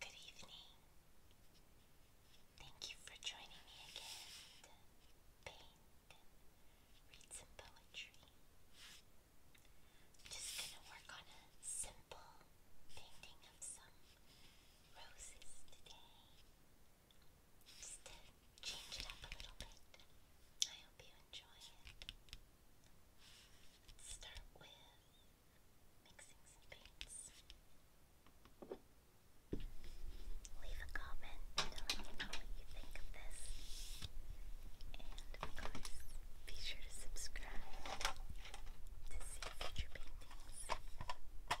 Good evening. Thank you for joining me again to paint and read some poetry. just going to work on a simple painting of some roses today. Just to change it up a little bit. I hope you enjoy it let start with mixing some paints. Leave a comment telling me know what you think of this. And of course, be sure to subscribe to see future paintings and listen to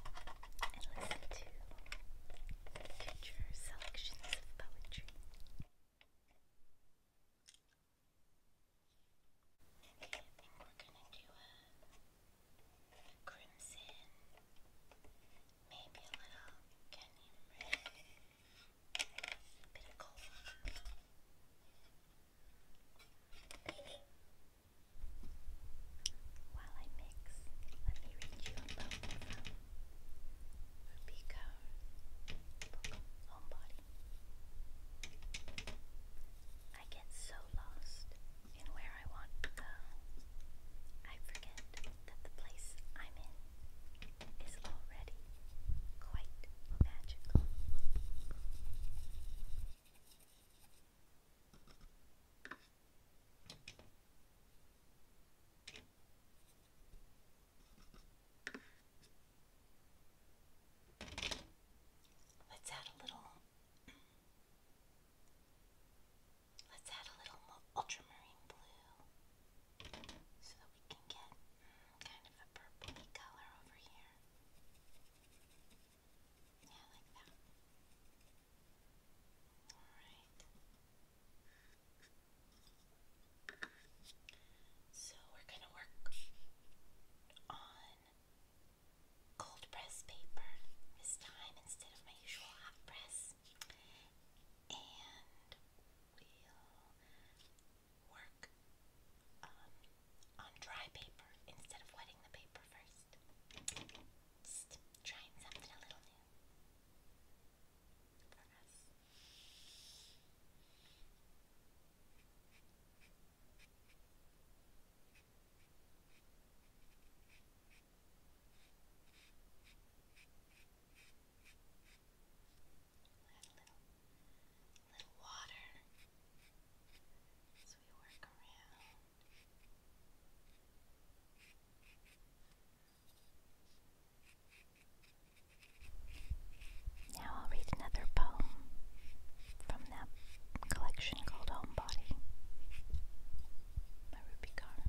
future selections of poetry. Okay, I think we're gonna do a, crimson, maybe a little canyon red, a bit of gold. While I mix, let me read you a poem Rubika Homebody. I get so lost in where I want to go. I forget that the place I'm in is already quite magical. Let's add a little. Let's add a little ultramarine blue so that we can get mm, kind of a purpley color over here. Yeah, like that. Alright. So we're going to work on cold press paper this time instead of my usual hot press. And we'll work um, on dry paper instead of wetting the paper first. trying something a little new for us. a little water as we work around. Now I'll read another poem from that collection called Homebody by Ruby Carr.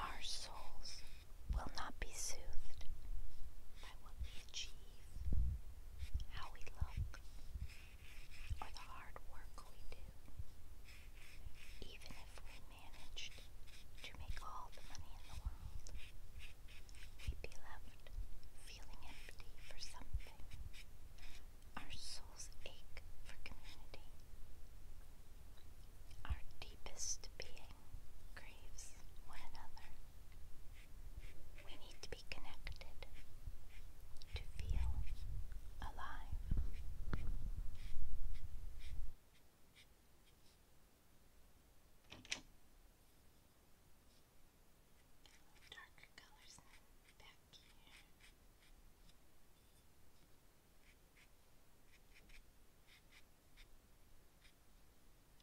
Our souls will not be soothed by what we achieve, how we look, or the hard work we do even if we managed to make all the money in the world, we'd be left feeling empty for something. Our souls ache for community. Our deepest being craves one another. We need to be connected to feel alive. Darker colors back here. I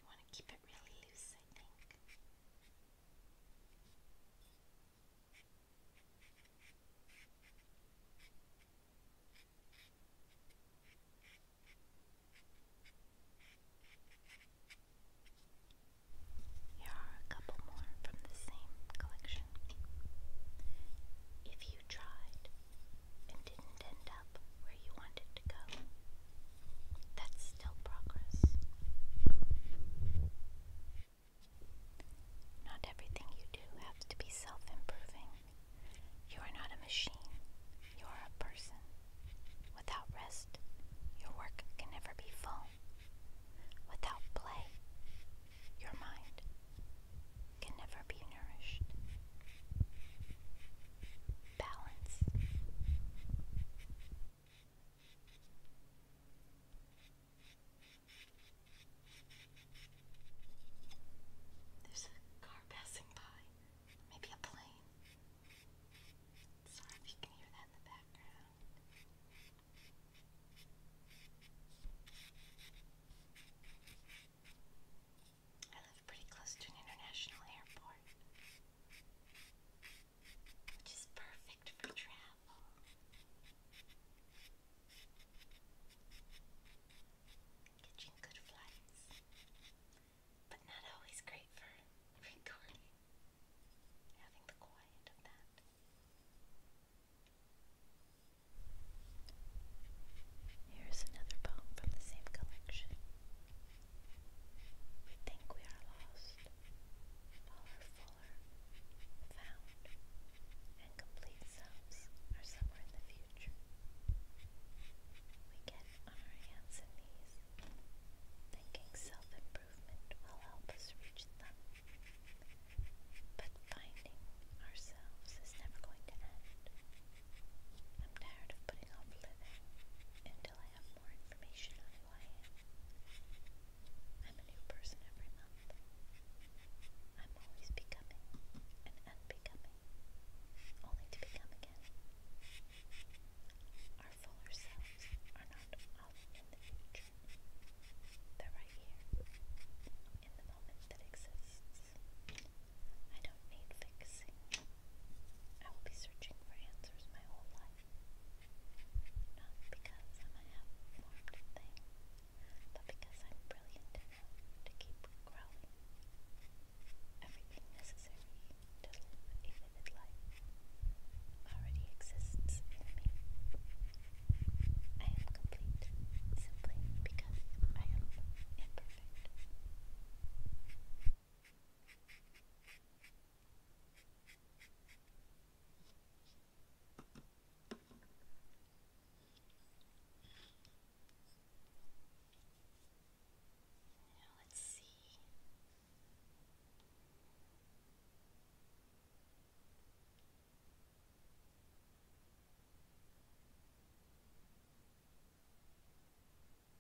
want to keep it really loose, I think. Here are a couple more from the same collection. If you tried and didn't end up where you wanted to go, that's still progress. Not everything you do has to be self improving. You are not a machine, you are a person. Without rest, your work can never be full. Without play, your mind can never be nourished. Balance. There's a car passing by. Maybe a plane. Sorry if you can hear that in the background. I live pretty close to an international airport which is perfect for travel. Catching good flights, but not always great for recording, having the quiet of that. Here's another poem from the same collection. We think we are lost, while our found, and complete sums are somewhere in the future. We get our hands and knees, thinking self-improvement will help us reach them. But finding ourselves is never going to end. I'm tired of putting off living until I have more information on who I am. I'm a new person every month. I'm always becoming and unbecoming, only to become again. Our fuller selves are not out in the future. They're right here, in the moment that exists. I don't need fixing. I will be searching for answers my whole life. Not because I'm a half thing, but because I'm brilliant enough to keep growing. Everything necessary to live a vivid life already exists in me. I am complete simply because I am imperfect. Now let's see.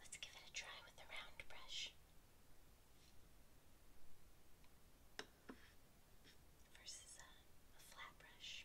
Let's give it a try with the round brush. Versus a, a flat brush.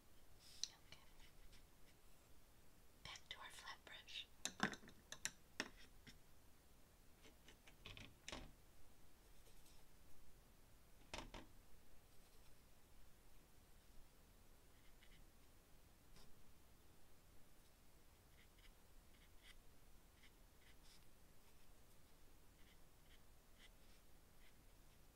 Okay. Back to our flat brush.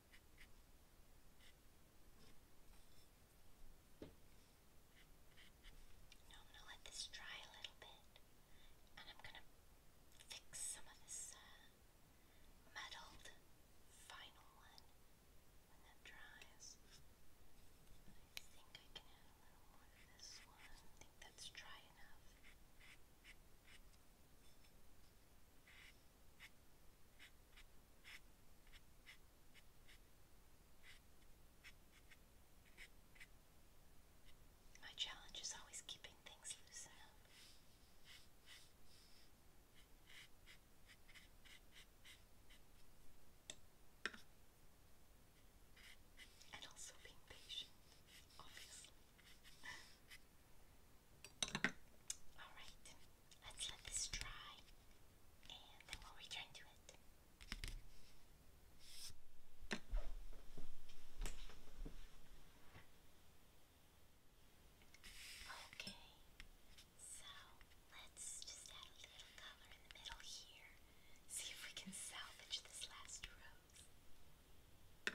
Now I'm going to let this dry a little bit and I'm going to fix some of this uh, muddled final one when that dries. I think I can add a little more to this one. I think that's dry enough. My challenge is always keeping things loose enough. And also being patient, obviously. All right. Let's let this dry and then we'll return to it. Okay, so let's just add a little color in the middle here. See if we can salvage this last rose.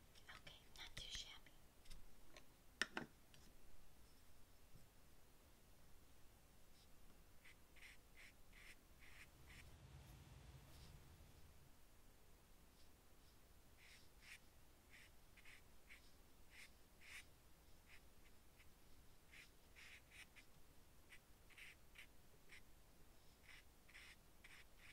Okay, not too shabby. Okay,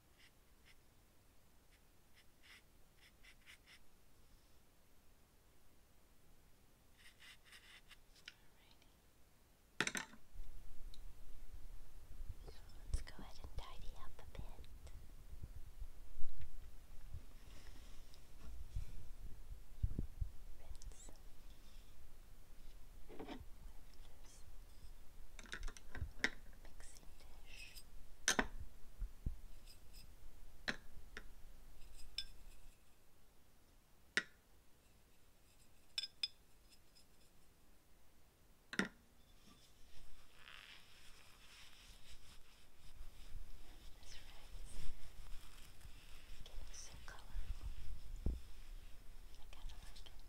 Alrighty. So let's go ahead and tidy up a bit. Rinse. Rinse mixing dish. This rice getting so colorful. I kind of like it.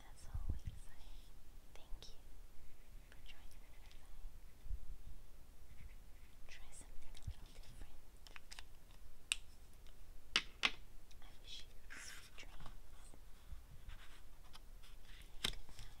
As always, thank you for joining me Try something a little different. I wish you sweet dreams. Good